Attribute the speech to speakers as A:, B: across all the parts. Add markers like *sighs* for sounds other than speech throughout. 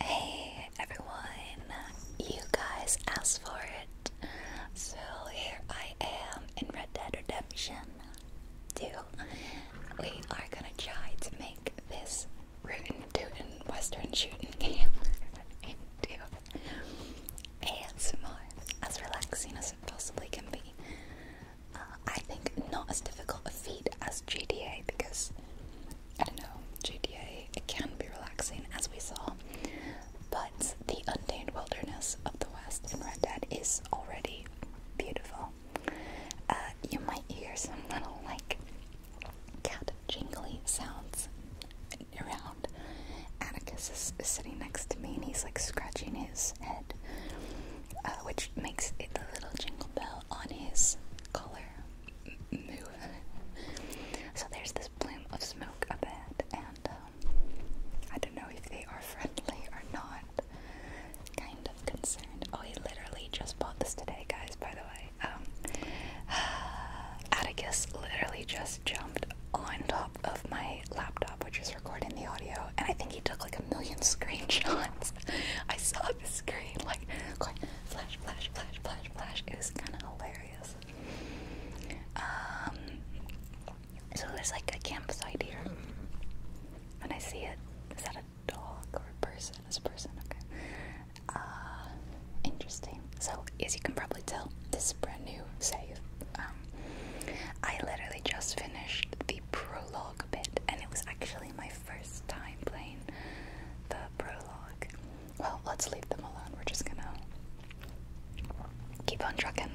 A: Hey everyone, you guys asked for it. So here I am in Red Dead Redemption 2. We are gonna try to make this rootin' tootin' western shooting *laughs* game into as relaxing as it possibly can be. I think not as difficult a feat as GDA because I don't know, GDA it can be relaxing as we saw, but the untamed wilderness of the West in Red Dead is already beautiful. Uh, you might hear some little like cat jingling sounds around. Atticus is, sitting next to me and he's like scratching his head, uh, which makes it the little jingle bell on his *laughs* so there's this plume of smoke up ahead, and um, I don't know if they are friendly or not. Kind of concerned. Oh, he literally just bought this today, guys. By the way, um, *sighs* Atticus literally just jumped on top of my laptop, which is recording the audio, and I think he took like million screenshots. *laughs* I saw the screen like going flash, flash, flash, flash, flash. It was kind of hilarious. Um, so there's like a campsite here. and I see it, is that a dog or a person? It's a person, okay. Uh, interesting. So as you can probably tell, this is brand new save. Um, I literally just finished the prologue bit, and it was actually my first time playing the prologue. Well, let's leave them alone. We're just gonna keep on trucking.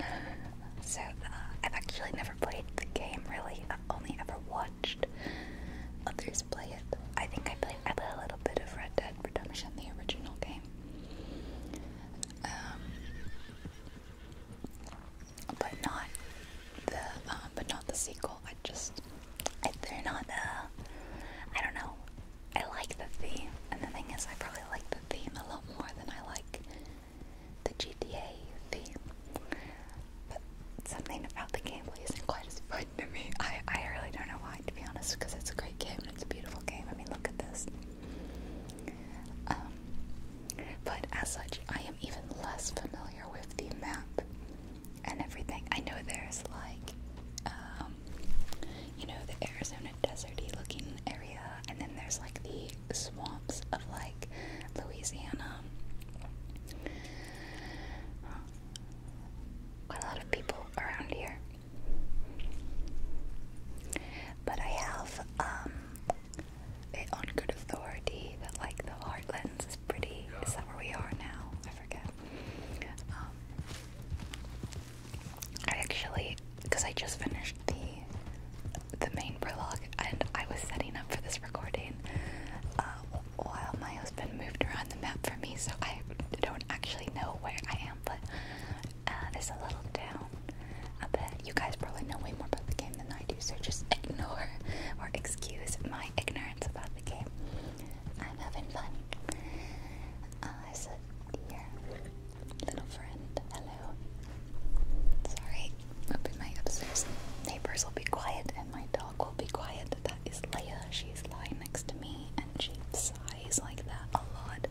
A: So, uh, I've actually never played the game really, I've only ever watched others play it. I think I played, I played a little bit of Red Dead Redemption, the original game. Um, but not the um, but not the sequel. I just I, they're not. Uh, I don't know. I like the theme, and the thing is, I probably like the theme a lot more than I like the GTA theme. But something about the game isn't quite as fun to me. I I really don't know why, to be honest, because it's a great game and it's a beautiful game. I mean, look at this. Um, but as such, I am even less familiar with the map and everything. I know there's like, um, you know, the Arizona deserty looking area, and then there's like the swamps of like Louisiana. Got a lot of people around here. But I have um, it on good authority that like the Heartlands is pretty. Is that where we are now? I forget. Um, I actually, because I just finished the the main prologue, and I was setting up for this recording uh, while my husband moved around the map for me, so I don't actually know where I am. But uh, a little town. I you guys probably know way more about the game than I do, so just *laughs* ignore or excuse my ignorance about the game. I'm having fun. Uh, so, dear little friend, hello. Sorry, hoping my upstairs neighbors will be quiet and my dog will be quiet. That is Leia. She's lying next to me and she sighs like that a lot.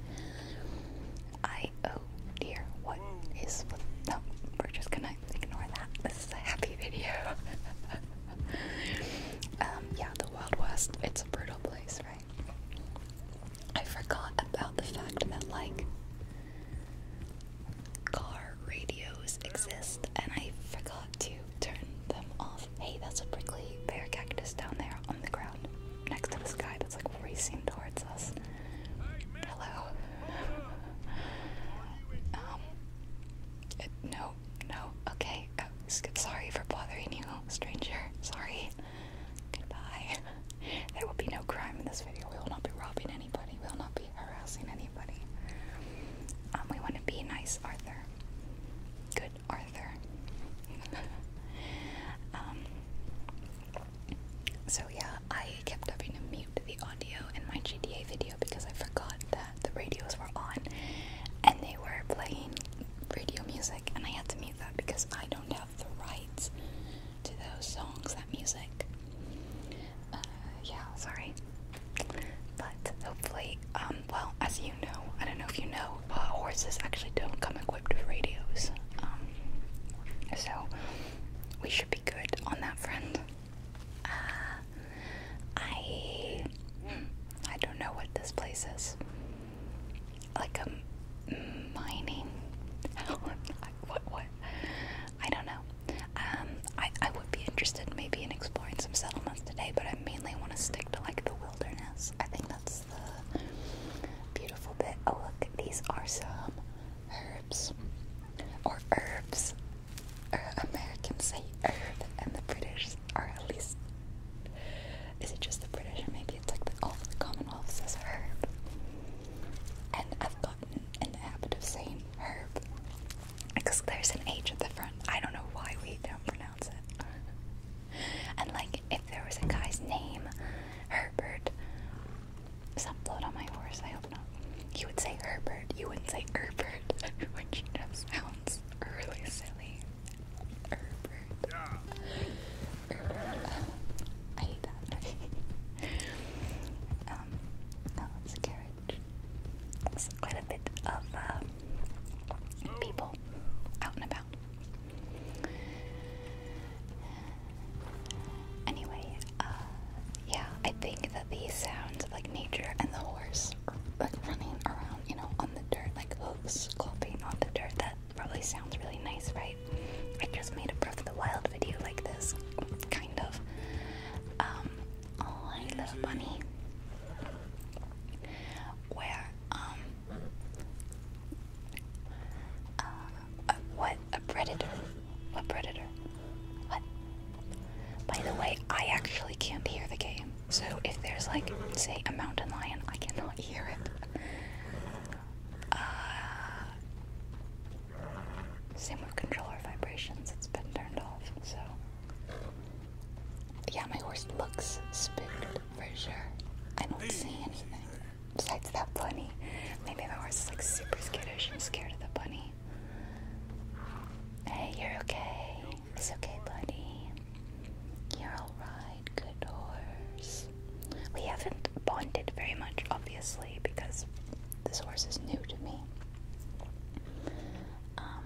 A: I, oh dear, what is no, we're just gonna ignore that. This is a happy video. *laughs* Um, yeah, the Wild West, it's a brutal place, right? I forgot about the fact that, like, car radios exist, and I forgot to turn them off. Hey, that's a prickly pear cactus down there on the ground next to this guy that's like racing towards us. Hello. *laughs* um, no, no, okay. Uh, sorry for bothering you, stranger. Sorry. Goodbye. *laughs* There will be no crime in this video. We will not be robbing anybody. We will not be harassing anybody. Um, we want to be nice, Arthur. Good, Arthur. *laughs* um, so yeah, I kept having to mute the audio in my GDA video because I forgot that the radios were on and they were playing radio music and I had to mute that because I don't have the rights to those songs, that music. Uh, yeah, sorry. But hopefully, um, well, as you know, I don't know if you know, uh, horses actually don't come equipped with radios. Um, so we should be good on that front. Uh, I I don't know what this place is. Like a mining. *laughs* what? What? I don't know. Um, I I would be interested maybe in exploring some settlements today, but I mainly want to stick to like the wilderness. I think that's the beautiful bit. Oh look, these are some herbs or herbs er, Americans say Earth and the British are at least. Is it just the British or maybe it's like the, all of the Commonwealth says herb? And I've gotten in the habit of saying herb because there's an H at the front. I don't know why we don't pronounce it. and like if there was a guy's name, Herbert, some blood on my horse, I hope not. You would say Herbert, you wouldn't say Herbert, which *laughs* you know really silly. Yeah. I hate that. *laughs* um, it's a carriage. There's quite a bit of um, people out and about. Anyway, uh, yeah, I think the sounds of like nature and the horse like running around, you know, on the dirt, like hooves clapping on the dirt. That probably sounds really nice, right? I just made a Breath of the Wild video like this, kind of. Um, oh, I love bunny. Where, um, uh, what? A predator? A predator? What? By the way, I actually can't hear the game. So if there's like, say, a mountain lion, I cannot hear it. Uh, same with controller vibrations, it's been turned off, so. Yeah, my horse looks spooked for sure. I don't see anything besides that bunny. Maybe my horse is like super skittish and scared of the bunny. Hey, you're okay. It's okay, buddy. You're alright, good horse. We haven't bonded very much, obviously, because this horse is new to me. Um,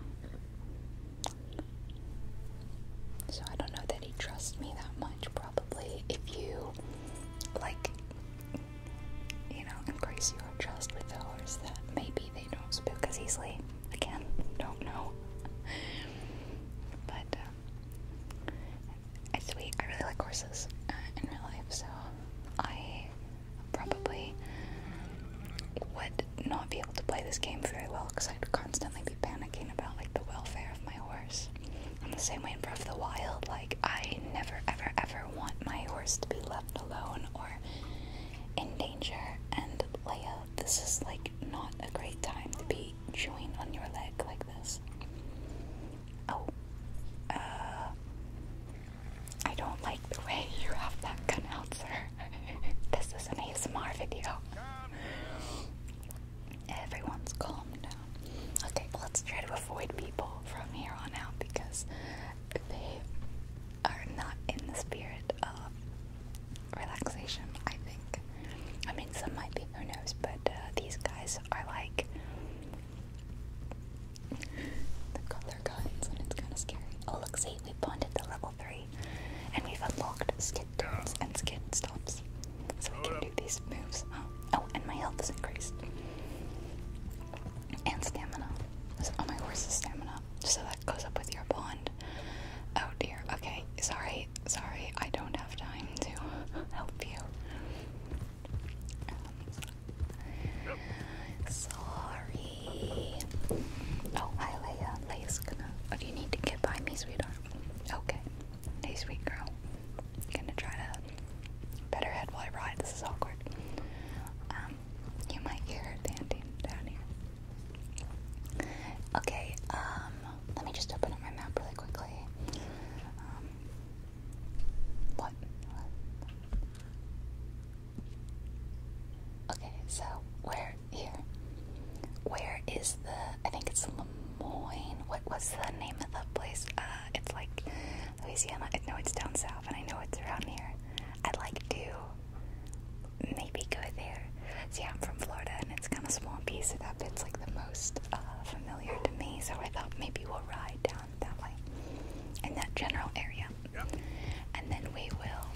A: so I don't know that he trusts me that much, probably. If you, like, you know, increase your trust with horses, that maybe they don't spook as easily. Again, don't know. but uh, it's sweet. I really like horses uh, in real life, so I probably would not be able to play this game very well because I'd constantly be panicking about like the welfare of my horse. In the same way in Breath of the Wild, like I never ever ever want my horse to be left alone or in danger, and Leia, this is like not a great time to be chewing on your leg like this. Oh, uh, I don't like the way *laughs* you have that gun out, sir. *laughs* this is an ASMR video. Everyone's calm down. Okay, let's try to avoid people from here on out because they are not in the spirit of relaxation, I think. I mean, some might be, who knows, but uh, these guys are like the color guides, and it's kind of scary. Oh, look, see, we have bonded to level 3, and we've unlocked skid turns and skid stops, so we can do these moves. Oh, oh and my health is increased. And stamina. oh, my horse's stamina. So that goes up with your bond. Oh dear. Okay. Sorry. Sorry. I don't have time to *laughs* help you. Um, sorry. Oh, hi, Leia. Leia's gonna. Oh, do you need to get by me, sweetheart? Okay. Hey, sweet girl. I'm gonna try to better head while I ride. This is awkward. Um, you might hear her down here. Okay, um, let me just open up my map really quickly. Um, what? Okay, so where here? Where is the? I think it's Lemoyne. What was the name of the place? Uh, it's like Louisiana. I know it's down south, and I know it's around here. I like to maybe go there. See, I'm from Florida and it's kind of swampy, so that bit's like the most uh, familiar to me. So I thought maybe we'll ride down that way in that general area. Yep. And then we will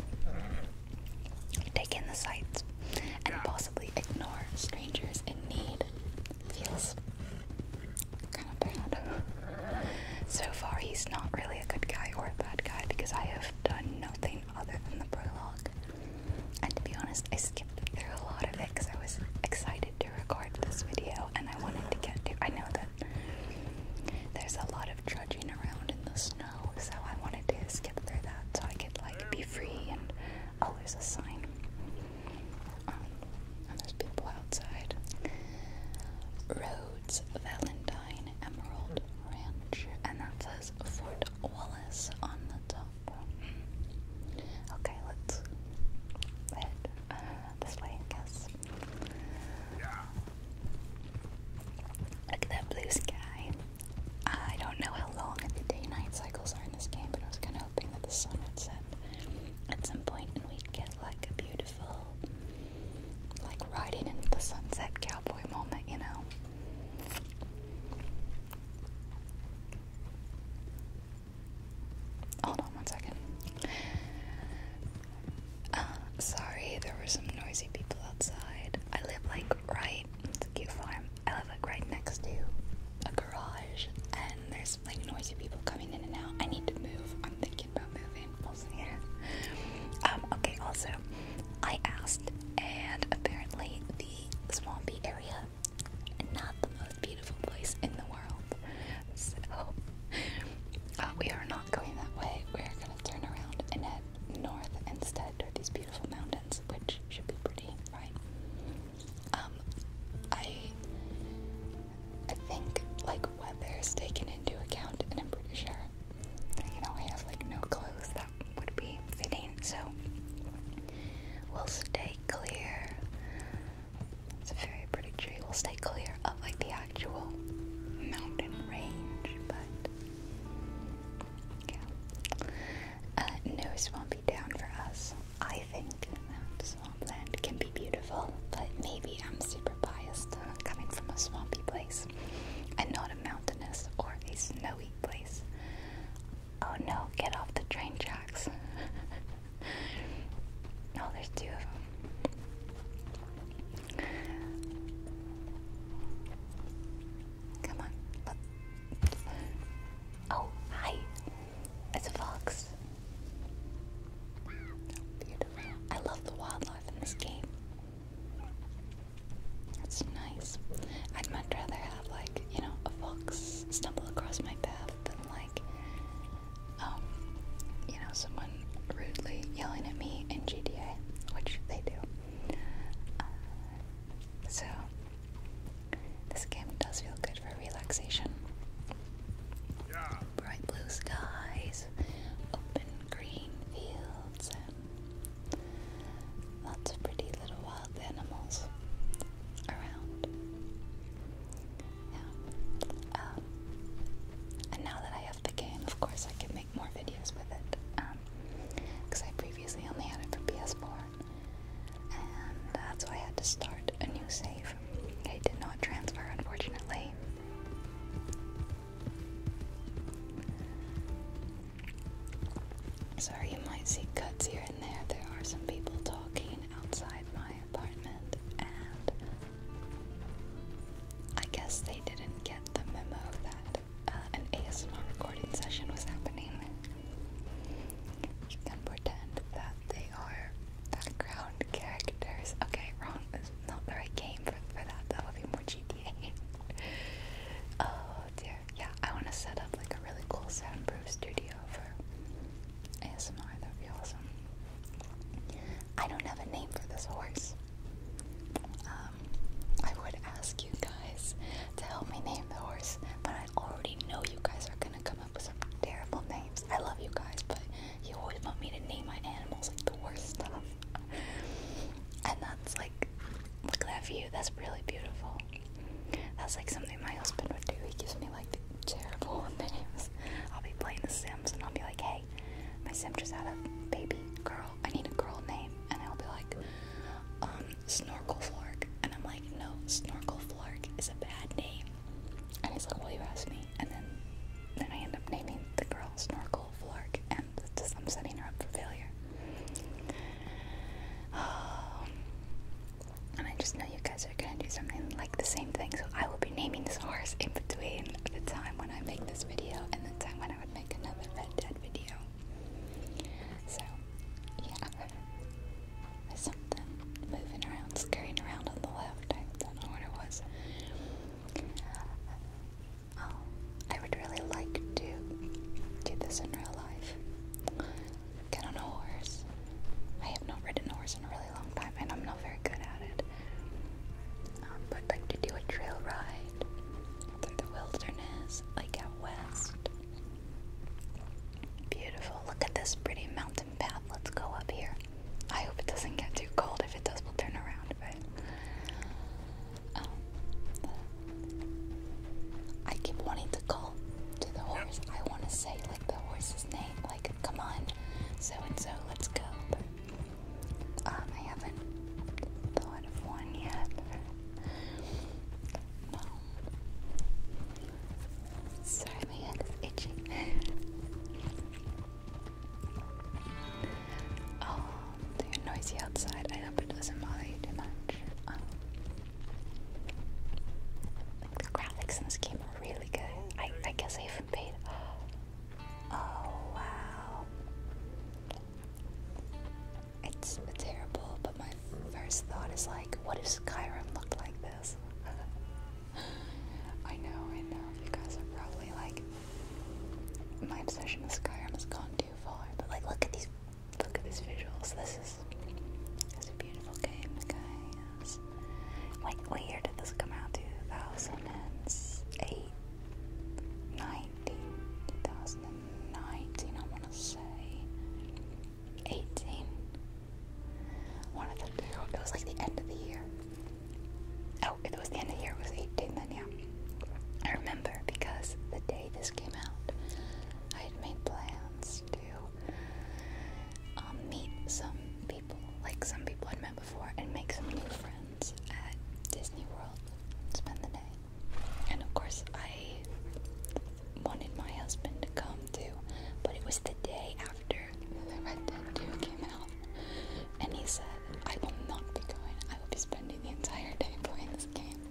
A: take in the sights and yeah. possibly ignore strangers in need. Feels kind of bad. So far, he's not really a good guy or a bad guy because I have done nothing other than the prologue. And to be honest, I skipped through a lot of it because I was excited to record this video and I wanted to get to. I know that there's a lot of trudging around in the snow, so I wanted to skip through that so I could like be free and oh, there's a sign. Um, and there's people outside. Rhodes, Valentine, Emerald, Ranch, and that says Fort Wallace on the top. Okay, let's head uh, this way, I guess. Look at that blue sky. I don't know how long the day-night cycles are in this game, but I was kind of hoping that the sun would set at some point and we'd get like a beautiful like riding into the sunset cowboy moment, you know. Hold on one second. Uh, sorry, there were some noisy people outside. I live like right, it's a cute farm. I live like right next to a garage, and there's like noisy people coming in and out. I need to move. I'm thinking about moving. Yeah. Um, okay, also, I asked, and apparently the swampy area, not the most beautiful place in the world. So, *laughs* uh, we are not going that way. We're gonna turn around and head north instead toward these beautiful mountains, which should be pretty, right? Um, I, think like weather is taken into account, and I'm pretty sure you know, I like no clothes that would be fitting, so we'll stay clear. It's a very pretty tree. We'll stay clear of like the actual mountain range, but yeah. Uh, no be down for us. I think swamp land can be beautiful, but maybe I'm super biased uh, coming from a swampy place and not a mountainous or a snowy place. Oh no, get off the train tracks. *laughs* no, there's two of them. Come on. Oh, hi. It's a fox. Beautiful. I love the wildlife in this game. That's nice. I'd much rather have like, you know, a fox stumble across my path than like um, you know, someone rudely yelling at me in GTA, which they do. Uh, so this game does feel good for relaxation. Bright blue skies, open green fields, Lots of pretty little wild animals around. Yeah. Um, and now that I have the game, of course, I can make more videos with it. Because um, I previously only had it for PS4. And that's why I had to start a new save. It did not transfer, unfortunately. Sorry, you might see cuts here and there. There are some people talking outside my apartment, and I guess they didn't get the memo that uh, an ASMR recording session was happening. You can pretend that they are background characters. Okay, wrong. not the right game for, for that. That would be more cheap. *laughs* oh dear. Yeah, I want to set up like a really cool soundproof studio for ASMR. That would awesome. I don't have a name for this horse. Um, I would ask you guys to help me name the horse, but I already know you guys are gonna come up with some terrible names. I love you guys, but you always want me to name my animals like the worst stuff. *laughs* and that's like, look at that view. That's really beautiful. That's like something my husband would do. He gives me like terrible *laughs* names. I'll be playing The Sims and I'll be like, hey, my Sim just had a baby girl. I need a girl name. And I'll be like, um, Snorkel Flark. And I'm like, no, Snorkel Flark is a bad name. And he's like, well, you asked me. And then then I end up naming the girl Snorkel Flark. And just, I'm setting her up for failure. *sighs* And I just know you guys are gonna do something like the same thing, so I will be naming this horse in between the time when I make this video and the time when I would make another Red Dead video. So, yeah. There's something moving around, scurrying around on the left. I don't know what it was. Oh, I would really like to do this in real life. Get on a horse. I have not ridden a horse in a really long time, and I'm not very good at it. Um, but like to do a trail ride through the wilderness, like out west. Beautiful. Look at this pretty mountain path. Let's go up here. I hope it doesn't get too cold. If it does, we'll turn around. But um, I keep wanting to call to the horse. I want to say like the horse's name, like come on, so and so, let's go. Um, I haven't thought of one yet. Um, sorry, my hand is itchy. *laughs* oh, they noisy outside. I hope it doesn't bother you too much. Um, the graphics in this game are really good. I, I guess I even paid. Oh wow. It's terrible, but my first thought is like, what if Skyrim look like this? *laughs* I know, I know. You guys are probably like, my obsession with Skyrim has gone too far. But like, look at these Look at these visuals. This is this is a beautiful game, guys. Like, what year did this come out? 2008, 19, I want to say. 18. One of the two. It was like the end of the year. Oh, it was the end of the year. It was 18 then, yeah. I remember because the day this came out, I had made plans to um, meet some people, like some people I'd met before, and make some new friends at Disney World. Spend the day, and of course I wanted my husband to come too, but it was the day after the Red Dead 2 came out, and he said, "I will not be going. I will be spending the entire day playing this game."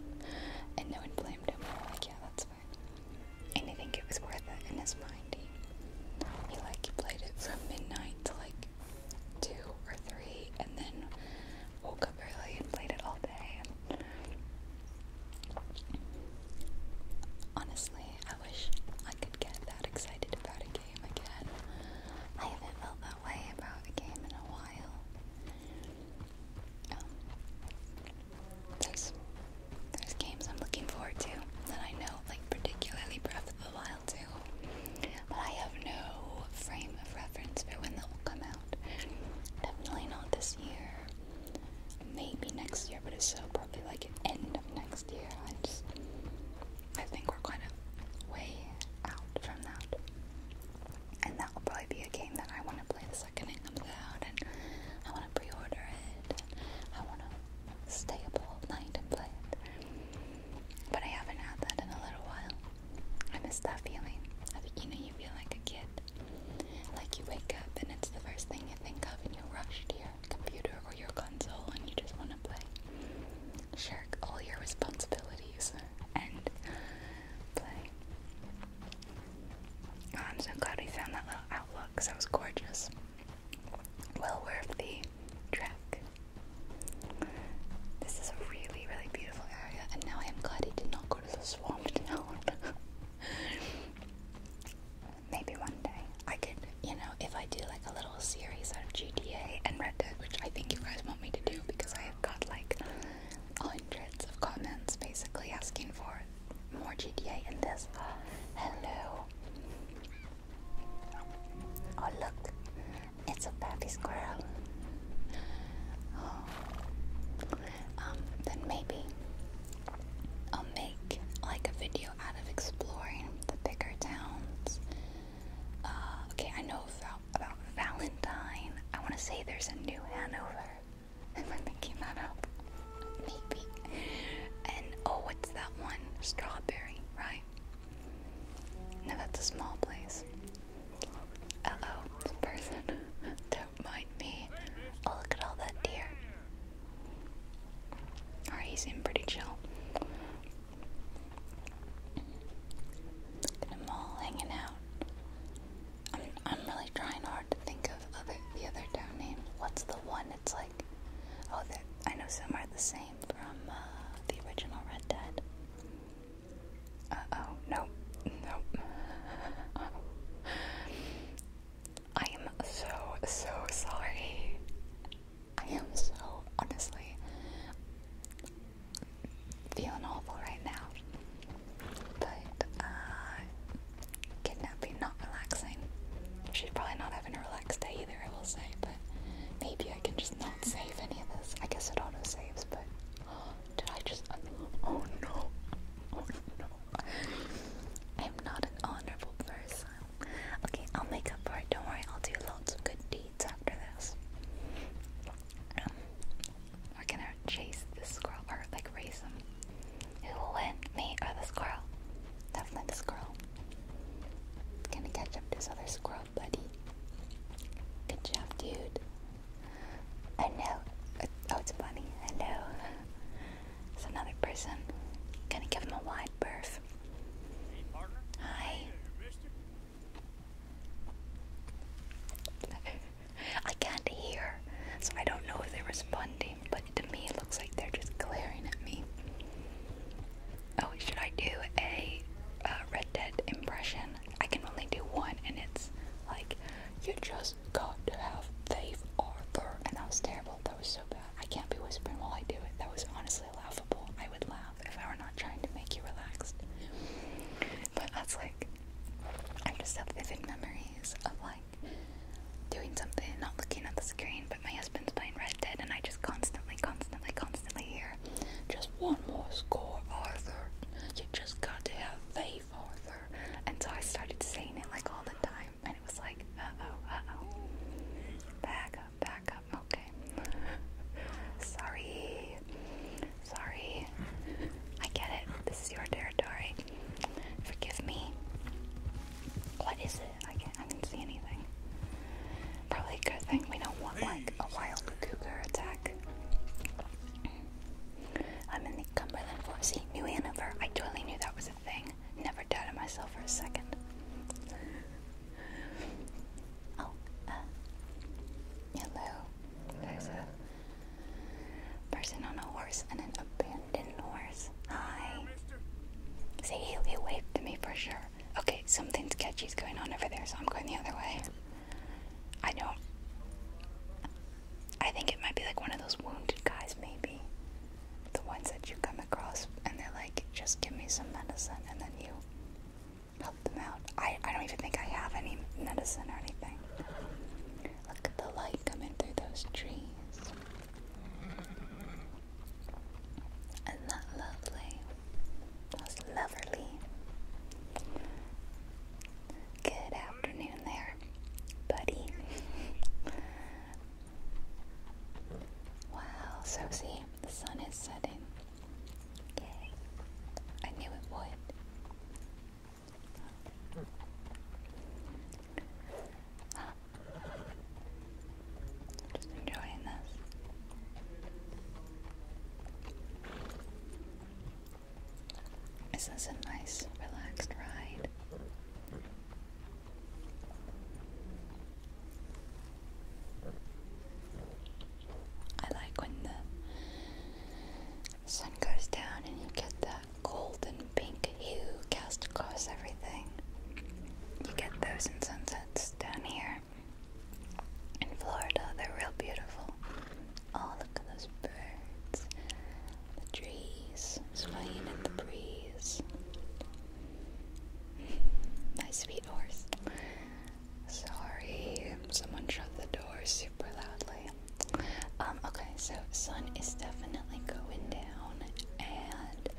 A: And no one blamed him. We were like, yeah, that's fine. And I think it was worth it in his mind. He, like he played it from midnight to like two or three, and then woke up early and played it all day. honestly, I wish I could get that excited about a game again. I haven't felt that way about a game in a while there's there's games I'm looking forward to that I know, like particularly Breath of the Wild too. But I have no frame of reference for when that will come out. Definitely not this year. Maybe next year, but it's so probably like end of next year. I just I think we're kind of way out from that. And that will probably be a game that I want to play the second it comes out, and I want to pre-order it. I want to stay up all night and play it. But I haven't had that in a little while. I miss that feeling. I think, you know, you feel like a kid. Like you wake up and it's the first thing you think of, and you rush to your computer or your console, and you just want to play. Shirk all your responsibilities and play. Oh, I'm so glad we found that little outlook because that was gorgeous. Well worth the trek. This is a really, really beautiful area, and now I am glad he did not go to the swamp *laughs* Maybe one day I could, you know, if I do like a little series out of GTA and Red Dead, which I think you guys want me to do because I have got like hundreds of comments basically asking for more GTA in this. Hello. Oh, look, it's a baby squirrel. Oh. Um, then maybe I'll make like a video out of exploring the bigger towns. Uh, okay, I know about Valentine. I want to say there's a new Hanover. *laughs* Am I making that up? Maybe. And oh, what's that one? Strawberry, right? No, that's a small place. Uh oh, person. *laughs* Don't mind me. Oh, look at all that deer. Oh, he's seemed pretty chill. Look at them all hanging out. I'm, I'm really trying hard to think of other, the other town name. What's the one? It's like, oh, I know some are the same from uh, the original Red Dead. Uh oh, no, no. *laughs* I am so, so sorry. I am so, honestly, feeling awful right now. But uh, kidnapping not relaxing. She's probably not having a relaxed day either, I will say. But maybe I can just not save any of this. I guess it auto saves, but *gasps* did I just? Oh no! Oh no! Oh I'm not an honorable person. Okay, I'll make up for it. Don't worry. I'll do lots of good deeds after this. Um, we're gonna chase this squirrel, or like raise them? Who will win, me or the squirrel? Definitely the squirrel. Gonna catch up this other squirrel buddy. Good job, dude. I know. Oh, it's funny. I know. It's another person. Gonna give him a wide berth. Hi. Hey there, I can't hear, so I don't know if they're responding, but to me it looks like they're just glaring at me. Oh, should I do a uh, Red Dead impression? I can only do one, and it's like, you just got to have faith, Arthur. And that was terrible. That was so bad. I can't be whispering while I do it. That was honestly laughable. I would laugh if I were not trying to make you relaxed. But that's like, I just have vivid memories of like doing something, not looking at the screen, but my husband's playing Red Dead, and I just constantly, constantly, constantly hear just one more score, Arthur. You just got to have faith, Arthur. And so I started saying it like all the time, and it was like, uh oh, uh oh. Back up, okay. Sorry. Sorry. I get it. This is your territory. Forgive me. What is it? I can't I didn't see anything. Probably a good thing we don't want like a wild cougar attack. I'm in the Cumberland Forest. New Hanover. I totally knew that was a thing. Never doubted myself for a second. Oh, uh, hello. Person on a horse and an abandoned horse. Hi. See, he, waved to me for sure. Okay, something sketchy's going on over there, so I'm going the other way. I don't. I think it might be like one of those wounded guys, maybe. The ones that you come across, and they're like, just give me some medicine, and then you help them out. I, I don't even think I have any medicine or anything. Look at the light coming through those trees. Isn't that lovely? That's lovely. Good afternoon there, buddy. wow, so the sun is setting. Yay. I knew it would. Just enjoying this. This is a nice, relaxed ride. I like when the sun goes down and you get the that golden pink hue cast across everything. You get those in sunsets down here in Florida, they're real beautiful. Oh, look at those birds, the trees swaying in the breeze. *laughs* My sweet horse. Sorry, someone shut the door super loudly. Um, okay, so sun is definitely going down, and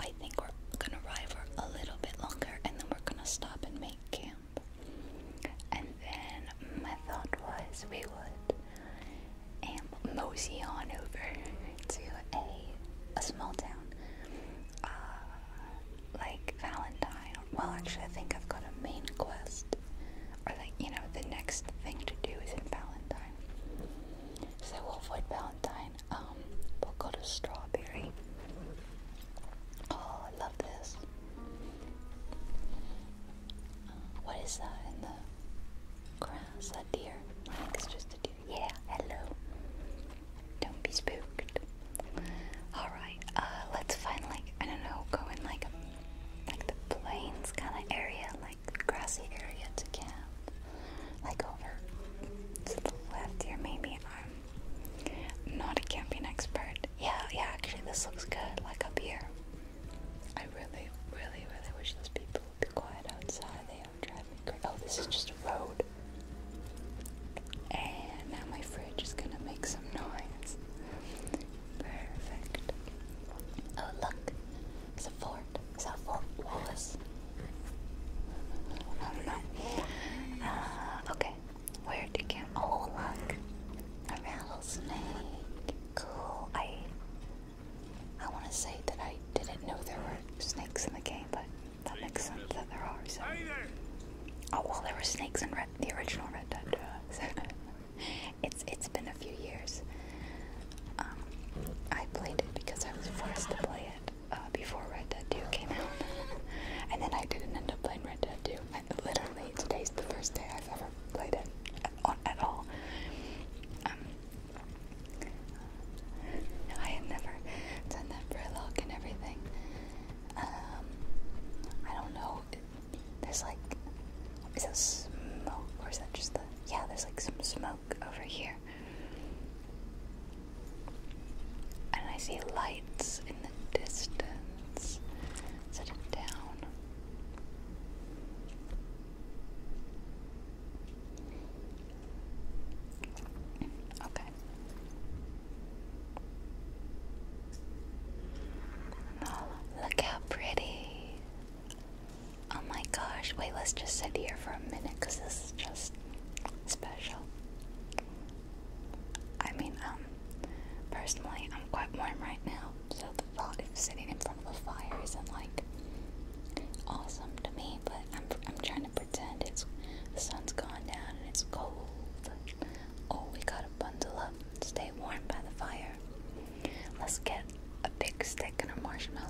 A: I think we're gonna ride for a little bit longer, and then we're gonna stop and make camp. And then my thought was we would and mosey on over *laughs* to a a small town, uh, like Valentine. Well, actually, I think I've got a main quest or like you know the next thing to do is in Valentine. So we'll avoid Valentine. Um, we'll go to Strawberry. Oh, I love this. Uh, what is that in the grass? A deer? I think it's just a deer. Yeah, hello. Don't be spooked. Alright, uh, let's find I don't know, go in like like the plains kind of area, like grassy area to camp. Like over to the left here, maybe. I'm not a camping expert. Yeah, yeah, actually, this looks good, like up here. I really, really, really wish those people would be quiet outside. They are driving me crazy. Oh, this is just a road. And now my fridge is gonna make some noise. Perfect. Oh look, it's a fort. It's a Fort Wallace. I don't know. okay, where to get? a rattlesnake. Cool. I I want to say that I didn't know there were snakes in the game, but that makes sense that there are. Oh well, there were snakes in the original Red Dead. *laughs* It's it's been a few years. Um, I played it because I was forced to play it uh, before Red Dead 2 came out, and then I didn't end up playing Red Dead 2. literally, today's the first day I've ever played it at, all. Um, I have never done that prologue and everything. Um, I don't know. There's like, is that smoke or is that just the, yeah, there's like some smoke over here. And I see lights in the distance. Set it down. Okay. look how pretty. Oh my gosh, wait, let's just sit here for a minute because this is just special. I mean, um, personally, I'm quite warm right now, so the thought of sitting in front of a fire isn't like awesome to me, but I'm, I'm trying to pretend it's the sun's gone down and it's cold. Oh, we gotta bundle up stay warm by the fire. Let's get a big stick and a marshmallow.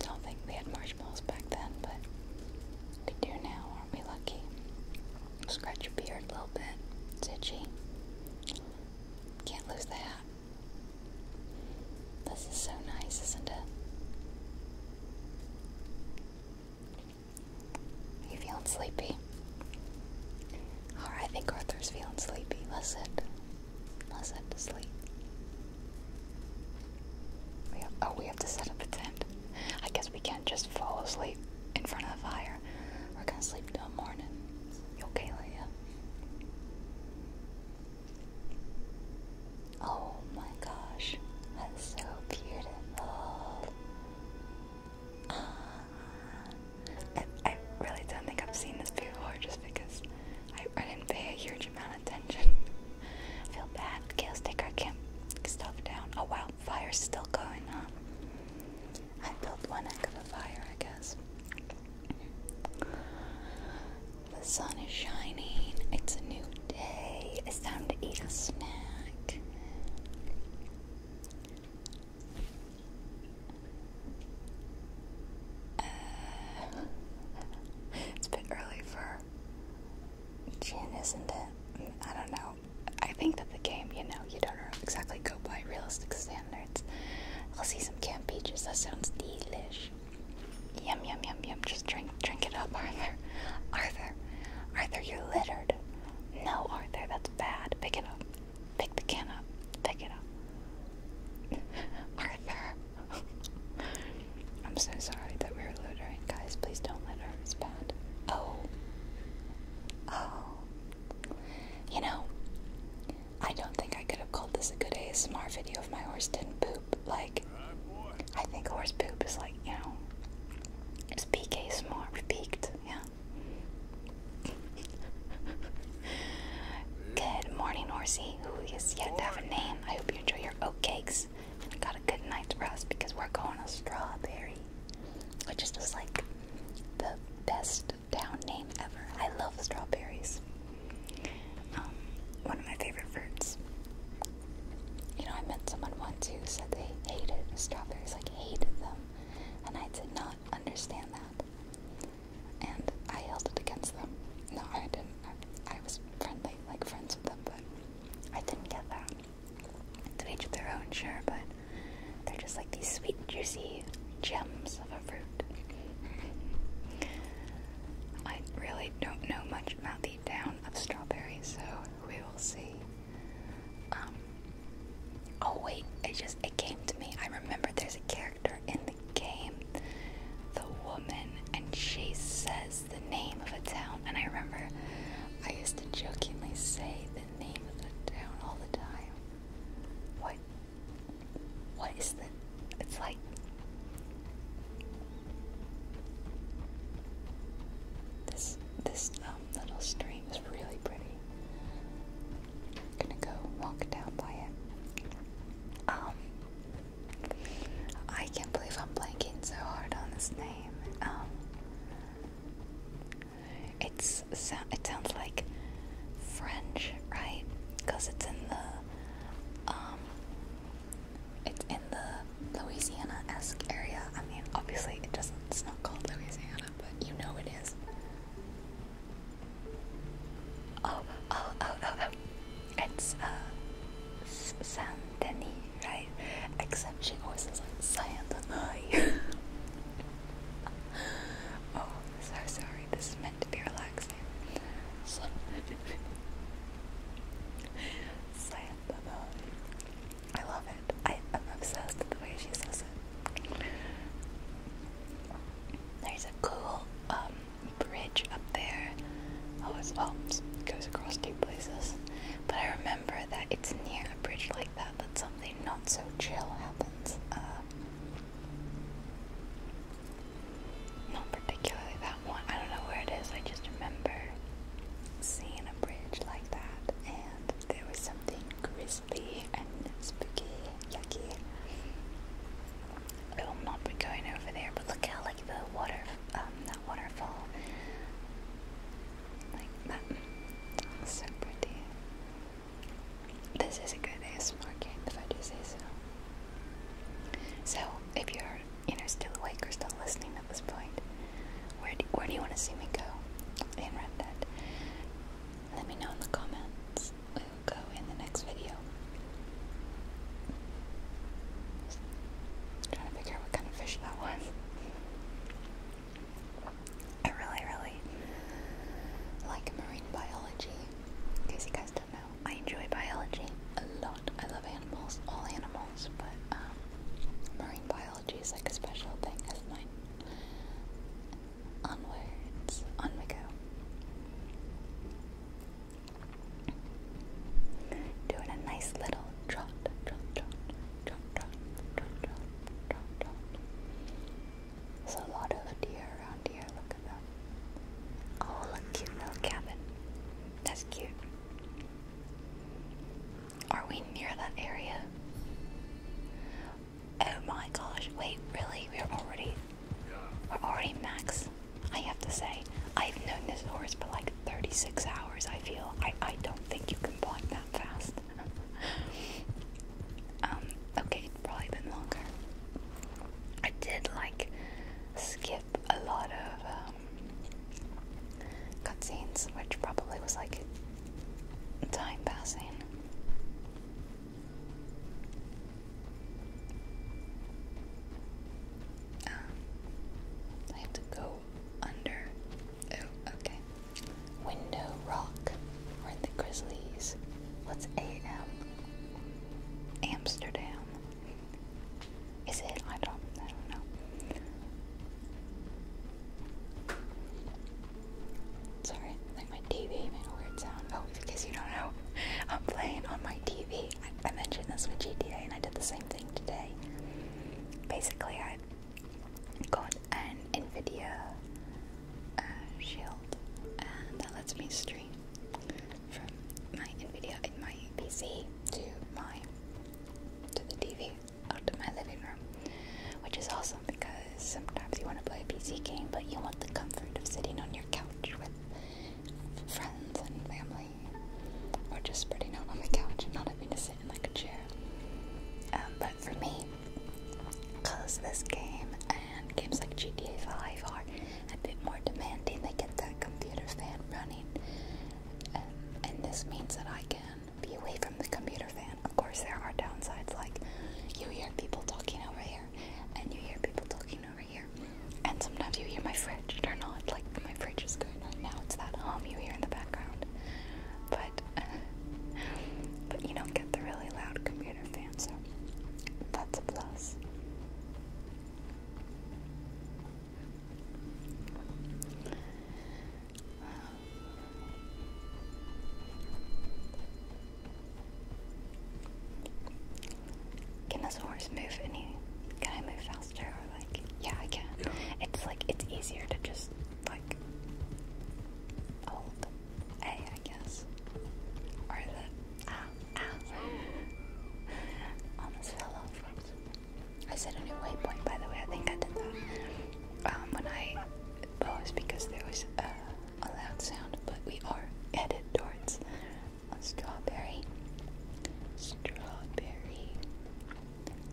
A: Don't think we had marshmallows back then, but we do now, aren't we lucky? Scratch your beard a little bit. It's itchy. Can't lose the hat. This is so nice, isn't it? Are you feeling sleepy? Alright, I think Arthur's feeling sleepy. Let's sit. Let's sit to sleep. oh, we have to set up a tent. I guess we can't just fall asleep in front of the fire. We're gonna sleep till morning. You okay, Leia? Oh my gosh, that's so beautiful. Ah. I, really don't think I've seen this before just because I, didn't pay a huge amount of attention. I feel bad. Chaos Taker can't stuff down. Oh wow, fire's still going, huh? I built one end of a fire, I guess. The sun is shining. It's a new day. It's time to eat a snack. Uh, it's a bit early for gin, isn't it? I don't know. I think that the game, you know, you don't exactly go by realistic standards. I'll see some canned peaches. That sounds delish. Yum yum yum yum. Just drink, drink it up, *laughs* Arthur. Arthur, Arthur, you're littered. No, Arthur, that's bad. Pick it up. Pick the can up. Pick it up. Arthur. I'm so sorry that we were loitering, guys. Please don't litter. It's bad. Oh. Oh. You know, I don't think I could have called this a good A-smart video if my horse didn't poop. Like, I think horse poop is like, you know, it's PK-smart. We peaked, yeah good morning, Horsey, who is yet to have a name. I hope you enjoy your oatcakes and got a good night's rest because we're going to Strawberry, which is like the best town name ever. I love strawberries. Um, one of my favorite fruits. You know, I met someone once who said they hated strawberries, like hated them. And I said, not understand that. And I held it against them. No, I didn't. I, was friendly, like friends with them, but I didn't get that. To each their own, sure, but they're just like these sweet, juicy gems of a fruit. I really don't know much about the down of strawberries, so we will see. Um, Oh wait, it just it came to me. I remember there's a character in the game, the woman, and she says the name of a town. And I remember I used to jokingly say the name of the town all the time. What what is the it's like this this um, little stream is really pretty. gonna go walk down by it. Um, I can't believe I'm blanking so hard on this name. Um, it's it sounds like French, right? Because it's in the um, it's in the Louisiana-esque area. I mean, obviously, it doesn't. It's not called Louisiana, but you know it is. Oh, oh, oh, oh, oh, It's uh, Saint Denis, right? Except she always says like Saint Denis. *laughs* oh, so sorry. This is meant to be relaxing. Saint Denis. I love it. I am obsessed with the way she says it. There's a cool um, bridge up there. Oh, it's, oh, goes across two places. But I remember that it's near a bridge like that that something not so chill happens. Um, not particularly that one. I don't know where it is. I just remember seeing a bridge like that, and there was something grisly and spooky, yucky. I will not be going over there, but look how like the water, um, that waterfall, like that. So pretty. This is a good ASMR game, if I do say so. So, if you're, you know, still awake or still listening at this point, where do, where do you want to see me go in Red Dead? Let me know in the comments else will go in the next video. trying to figure out what kind of fish that was. I really, really like marine biology. In you guys don't know, I enjoy biology a lot. I love animals, all animals, but um, marine biology is like a special thing of mine. Onwards, on we go. Doing a nice little trot, trot, trot, trot, trot, trot, trot, trot, trot. There's a lot of deer around here. Look at them. Oh, look, cute little cabin. That's cute. Are we near that area? Oh my gosh, wait, really? We're already we're already max. I have to say, I've known this horse for like 36 hours, I feel. I, I don't think you can blind that fast. *laughs* um, okay, it's probably been longer. I did like skip a lot of um, cutscenes, which probably was like time passing. Um, I have to go under. Oh, okay. Window Rock. We're the Grizzlies. What's AM? Amsterdam. Is it? I don't. I don't know. Sorry, like my TV made a weird sound. Oh, because you don't know, *laughs* I'm playing on my TV. I, mentioned this with GTA, and I did the same thing today. Basically, I got an NVIDIA uh, Shield, and that lets me stream from my NVIDIA in my PC to my to the TV out of my living room, which is awesome because sometimes you want to play a PC game, but you want the comfort of sitting on your couch with friends and family, or just spreading out on the couch and not having to sit in like a chair. Um, but for me, because this game and games like GTA 5 are a bit more demanding, they get that computer fan running. Um, and this means that I can be away from the computer fan. Of course, there are downsides, like you hear people talking over here and you hear people talking over here, and sometimes you hear my fridge turn on. Like my fridge is going right now. It's that hum you hear in the background, but *laughs* but you don't get the really loud computer fan, so that's a plus. Can this horse move any? Can I move faster? Or like, yeah, I can. It's like it's easier to just like hold guess, or the ah ah. Oh, Almost fell off. I said a new waypoint, by the way. I think I did that um, when I posed because there was. Uh, a loud sound, but we are headed towards a strawberry. Strawberry.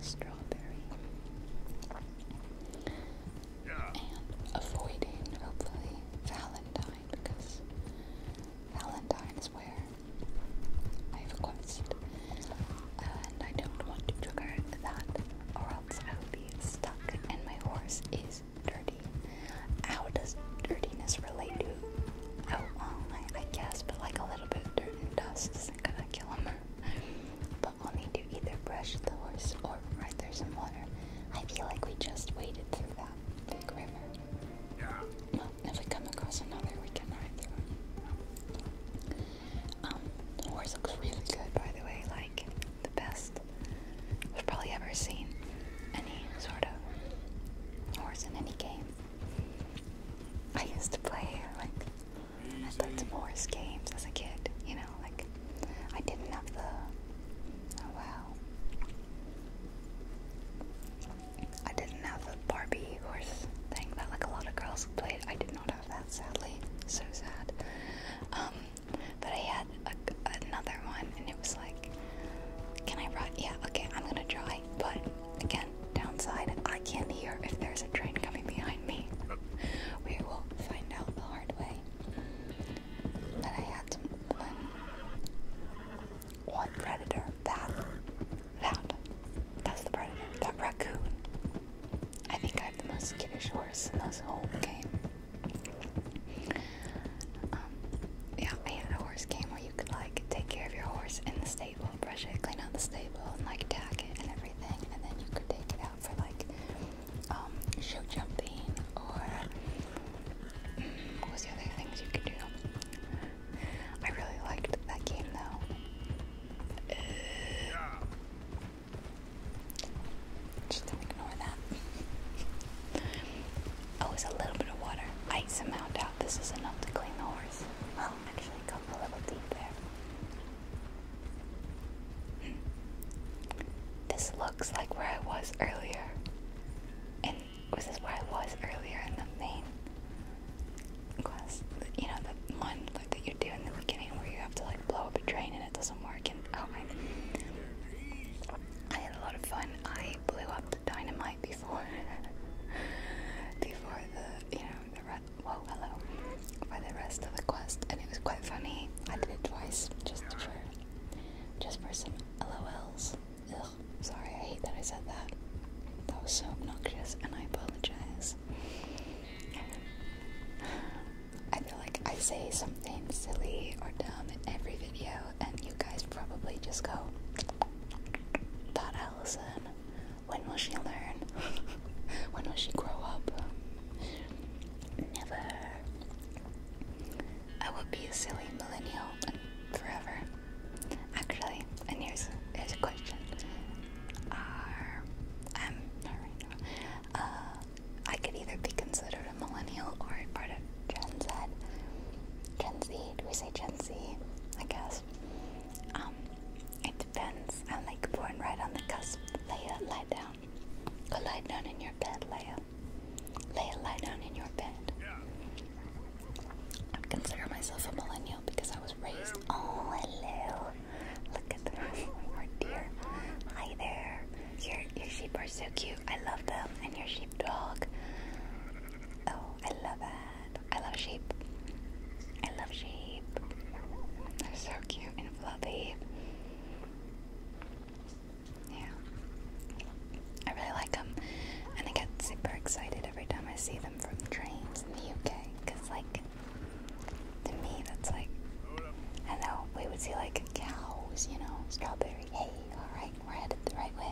A: Strawberry. And avoiding, hopefully, Valentine, because Valentine where I have a quest. And I don't want to trigger that, or else I will be stuck, and my horse is is dirty. How does dirtiness relate to? Oh, well, I, I guess, but like a little bit of dirt and dust isn't gonna kill him. *laughs* But we'll need to either brush the horse or right there's some water. I feel like we just waded through that big river. Yeah. Well, if we come across another, we can ride through it. Um, the horse looks really good, by the way. Like like the best we've probably ever seen any sort of horse in any game. I used to play like I played some horse games as a kid, you know, like I didn't have the oh wow. I didn't have the Barbie horse thing that like a lot of girls played. I did not have that sadly. So sad. Um but I had another one, and it was like, can I run?" Yeah, okay, I'm gonna try. But again, downside, I can't hear if there's a train coming behind me. we will find out the hard way. But I had one, um, one predator. That, that, that's the predator. That raccoon. I think I have the most skittish horse in this whole game. Um, yeah, I had a horse game where you could like take care of your horse in the stable, brush it, clean out the stable, and like tack it and everything, and then you could take it out for like um, show jumping or mm, what was the other things you could do? I really liked that game though. Uh, just ignore that. oh, a little bit of water. I somehow doubt this is enough to clean the horse. Well, actually, got a little deep there. Hmm. This looks like where I was earlier. And was this where I was earlier in the main quest? You know, the one that you do in the beginning where you have to like blow up a drain and it doesn't work. And oh my. I had a lot of fun. I blew up the dynamite before, *laughs* before the you know the re- well hello for the rest of the quest, and it was quite funny. I did it twice just for just for some LOLs. Ugh, sorry, I hate that I said that. That was so obnoxious, and I apologize. *sighs* I feel like I say something silly or dumb in every video, and you guys probably just go, Thought Allison, when will she learn? *laughs* when will she grow up? Never. I will be a silly millennial forever. Actually, and here's, here's a question. Are, not right now. Uh, I could either be considered a millennial or a part of Gen Z. Gen Z, do we say Gen Z? I guess. Um, it depends. I'm like born right on the cusp. Leia, lie down. Go lie down in your bed, Leia. Leia, lie down in your bed. I consider myself a millennial because I was raised. all alone. Look at the *laughs* our dear. Hi there. Your your sheep are so cute. I love them, and your sheep dog. Oh, I love that. I love sheep. I love sheep. They're so cute and fluffy. Yeah, I really like them, and I get super excited every time I see them from trains in the UK. Cause like, to me, that's like, I know we would see like cows, you know, strawberry. Hey, all right, we're headed the right way.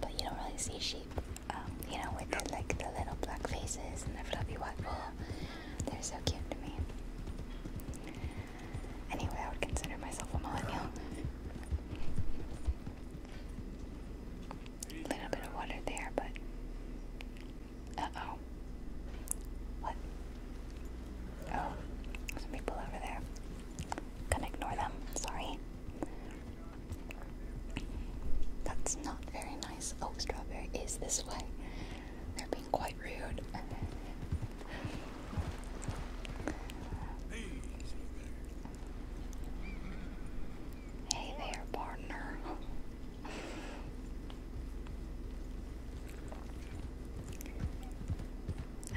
A: But you don't really see sheep, um, you know, with like the little black faces and the fluffy white wool. They're so cute to me. Anyway, I would consider myself a millennial. A little bit of water there, but. Uh oh. What? Oh, some people over there. Gonna ignore them, sorry. That's not very nice. Oh, Strawberry is this way. They're being quite rude. Hey there, partner.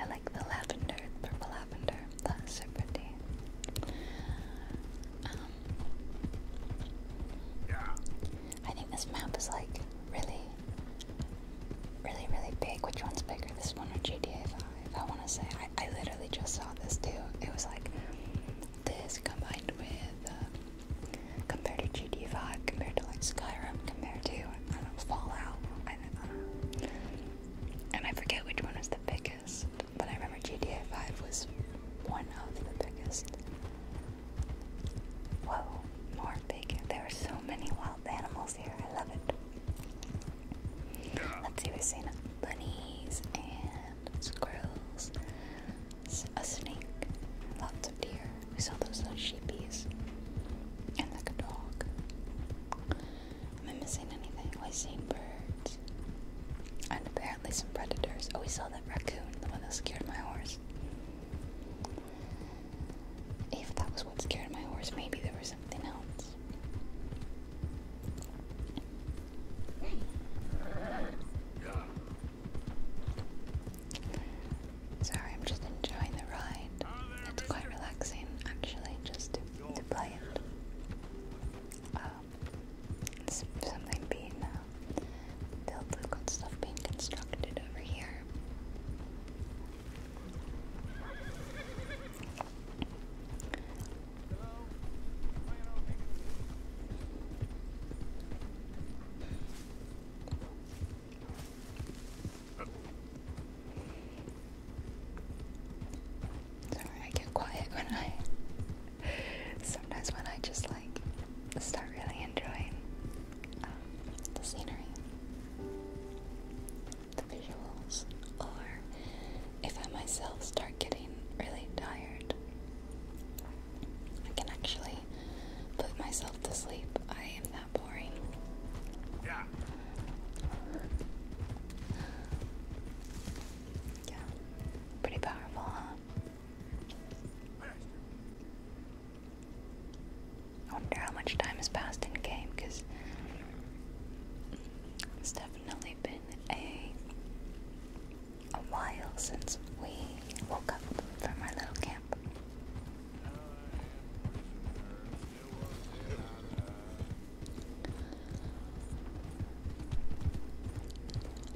A: I like the lavender, purple lavender. That's so pretty. yeah. I think this map is like really, really, really big. Which one's bigger, this one or GTA 5? I want to say. I, I literally just saw this too. It was like this combined with, um, compared to GTA 5, compared to like Skyrim, compared to, Fallout and I forget which one was the biggest, but I remember GTA 5 was one of the biggest. Whoa, more bacon. There are so many wild animals here. I love it. Let's see, we've seen bunnies and squirrels, a snake, lots of deer. We saw those little sheepies. And like a dog. Am I missing anything? Oh, I seen birds. And apparently some predators. Oh, we saw that raccoon, the one that scared my horse. If that was what scared my horse, maybe there was something else. Sorry, I'm just enjoying the ride. It's quite relaxing, actually, just to, play it. Um, something being uh, built. We've got stuff being constructed over here. Sorry, I get quiet when I. Sometimes when I just like start really enjoying um, the scenery, the visuals, or if I myself start getting really tired, I can actually put myself to sleep. I am boring. Yeah. Yeah. Pretty powerful, huh? I wonder how much time has passed in game because it's definitely been a a while since we woke up from our little camp.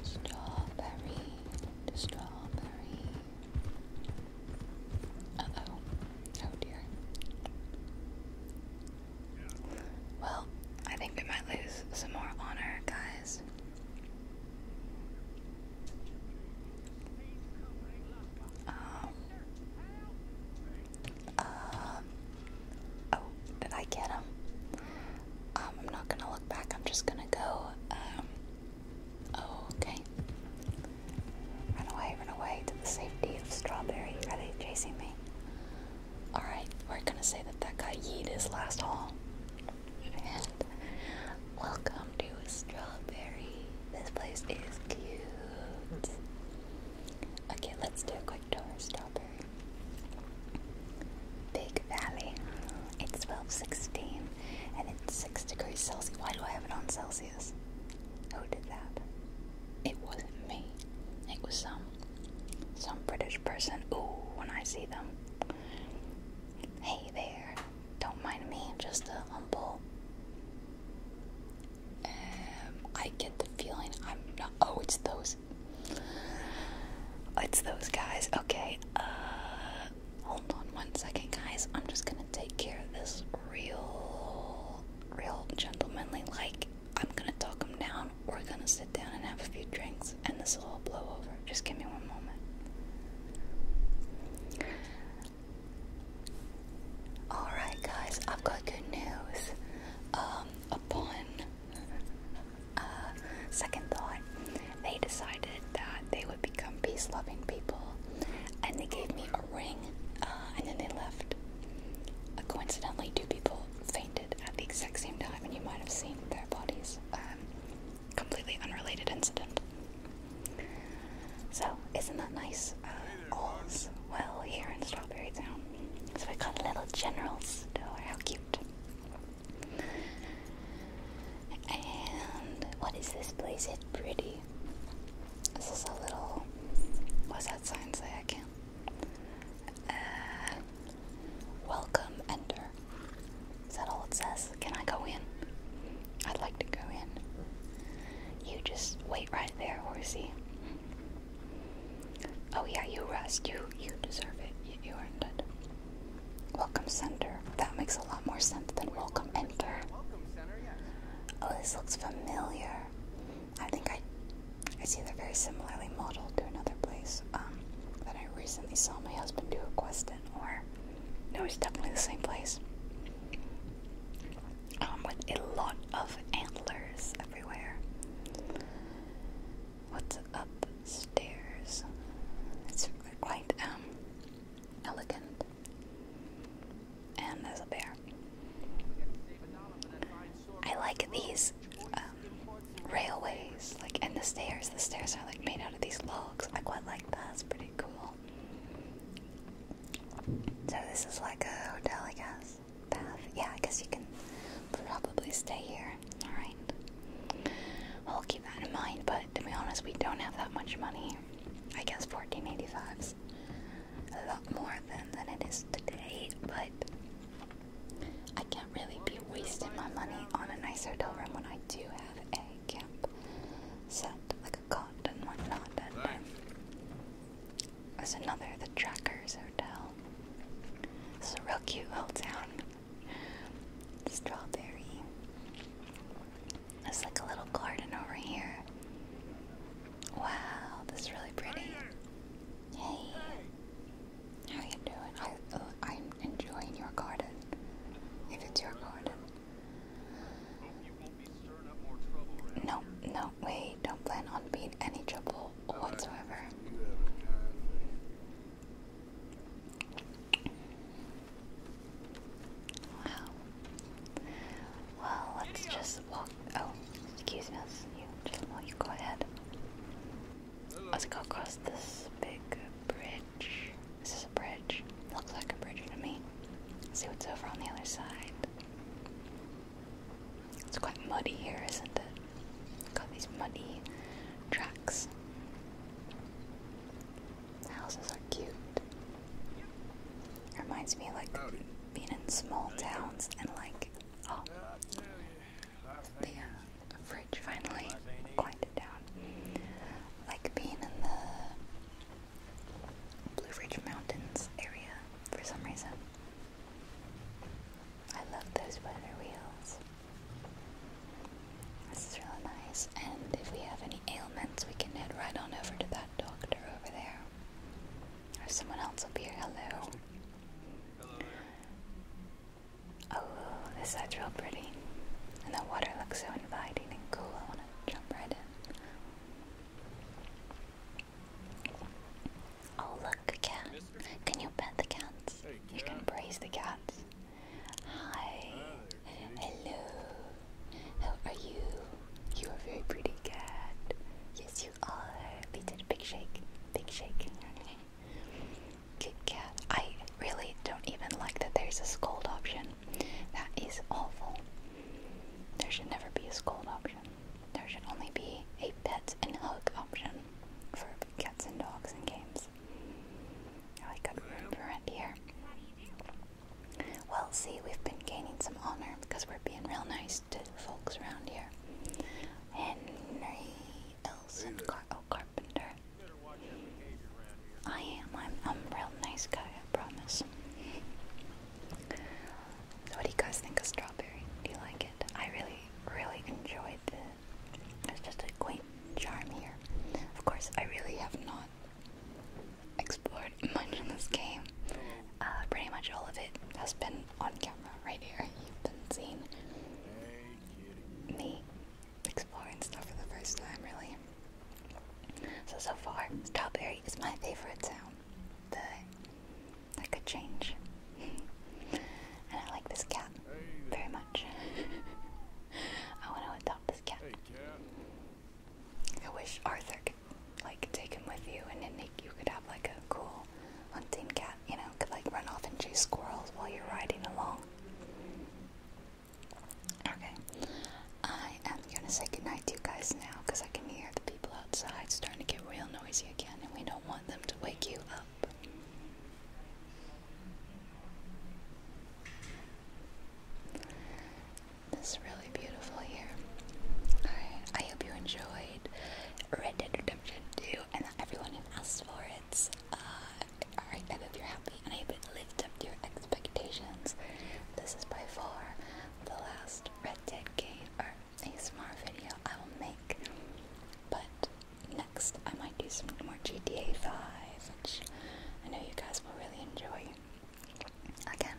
A: Strawberry, strawberry. Uh oh, oh dear. Well, I think we might lose some more honor, guys. Oh, um, oh, did I get him? Um, I'm not gonna look back, I'm just gonna go, um, oh, okay. Run away, run away to the safety of Strawberry. Ready, chasing me. Alright, we're gonna say that that guy yeet his last haul. welcome to Strawberry. This place is cute. Okay, let's do a quick tour. Strawberry. Big Valley. It's 1216 and it's 6 degrees Celsius. Why do I have it on Celsius? Who did that? It wasn't me. It was some some British person. Ooh, when I see them. Hey there. Don't mind me, just a humble um, I get the feeling I'm not. Oh, it's those. It's those guys. Okay. Uh, hold on one second, guys. I'm just gonna take care of this real, real gentlemanly. Like, I'm gonna talk them down. We're gonna sit down and have a few drinks, and this will all blow over. Just give me one moment. Alright, guys, I've got good news. Um, upon uh, second thought, they decided that they would become peace loving people and they gave me a ring uh, and then they left. coincidentally, two people fainted at the exact same time, and you might have seen their bodies. Um, completely unrelated incident. So, isn't that nice? Oh, well here in Strawberry Town. So we got a little general store, how cute. And what is this place? It's pretty. This is a little, what's that sign say? I can't. Uh, welcome, Ender. Is that all it says? Can I go in? I'd like to go in. You just wait right there, horsey. Oh yeah, you rest. You you deserve it. You, you earned it. Welcome center. That makes a lot more sense than welcome enter. Oh, this looks familiar. I think I I see they're very similarly modeled to another place um, that I recently saw my husband do a quest in. Or no, it's definitely the same place um, with a lot of antlers everywhere. What's upstairs? It's quite um, elegant. And there's a bear. I like these um, railways, like, and the stairs. The stairs are like made out of these logs. I quite like that. It's pretty cool. So this is like a hotel, I guess. Bath. Yeah, I guess you can probably stay here. Alright. I'll keep that in mind, but to be honest, we don't have that much money. I guess fourteen eighty a lot more than, than it is today, but I can't really be wasting my money on a nice hotel room when I do have a camp set, like a cot and whatnot. And, there's another, the Trackers Hotel. This is a real cute little town. Strawberry. There's like a little garden over here. Wow, this is really pretty. Hey, how you doing? I, oh, I'm enjoying your garden. If it's your garden. No, no, we don't plan on being any trouble whatsoever. Wow. Well, let's just walk. Oh, excuse me, you. Just while you go ahead. Let's go across this big bridge. This Is a bridge? Looks like a bridge to me. see what's over on the other side. It's quite muddy here, isn't it? Got these muddy tracks. houses are cute. reminds me like being in small towns and like oh uh, the fridge finally quieted down. Like being in the Blue Ridge Mountains area for some reason. I love those weather wheels. This is really nice, and if we have any ailments, we can head right on over to that doctor over there. Or someone else will be here. Hello. Oh, this side's real pretty. And the water looks so inviting and cool. I want to jump right in. Oh look, a cat. Can you pet the cats? You can praise the cats. Hi. Hello. How are you? You are very pretty cat. Yes, you are. We did a big shake. Big shake. *laughs* Good cat. I really don't even like that there's a scold option. That is awful. There should never be a scold option. There should only be a pet and hug option for cats and dogs and games. I like good room here. Well, see, we've been gaining some honor because we're being real nice to folks around here. Henry Elson Car oh, Carpenter. I am. I'm, I'm real nice guy, I promise. What do you guys think of strawberry? Do you like it? I really, really enjoyed it. There's just a quaint charm here. Of course, I really have not explored *laughs* much in this game. Uh, pretty much all of it has been on camera right here. You've been seeing me exploring stuff for the first time, really. So, so far, strawberry is my favorite sound that that could change. *laughs* and I like this cat very much. *laughs* I want to adopt this cat. I wish Arthur could like take him with you, and then you could have like a cool hunting cat. You know, could like run off and chase squirrels while you're riding along. Okay, I am gonna say goodnight to you guys now because second you hear the people outside starting to get real noisy again, and we don't want them to wake you up. This really beautiful here. Alright, I hope you enjoyed Red Dead Redemption 2 and that everyone who asked for it. Alright, uh, I hope you're happy and I have it lived up to your expectations. This is by far the last Red Dead game, a smart video I will make. But next, I might do some more GTA 5, which I know you guys will really enjoy. Again,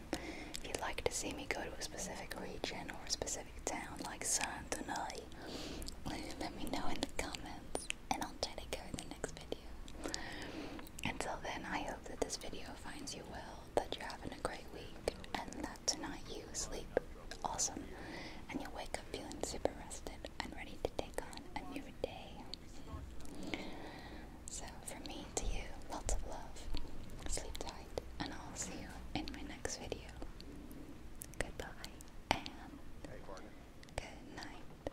A: if you'd like to see me go to a specific region or a specific town like San Denis, let me know in the comments and I'll try to go in the next video. Until then, I hope that this video finds you well that you're having a great week and that tonight you sleep awesome and you wake up feeling super rested and ready to take on a new day. So, from me to you, lots of love, sleep tight, and I'll see you in my next video. Goodbye and good night.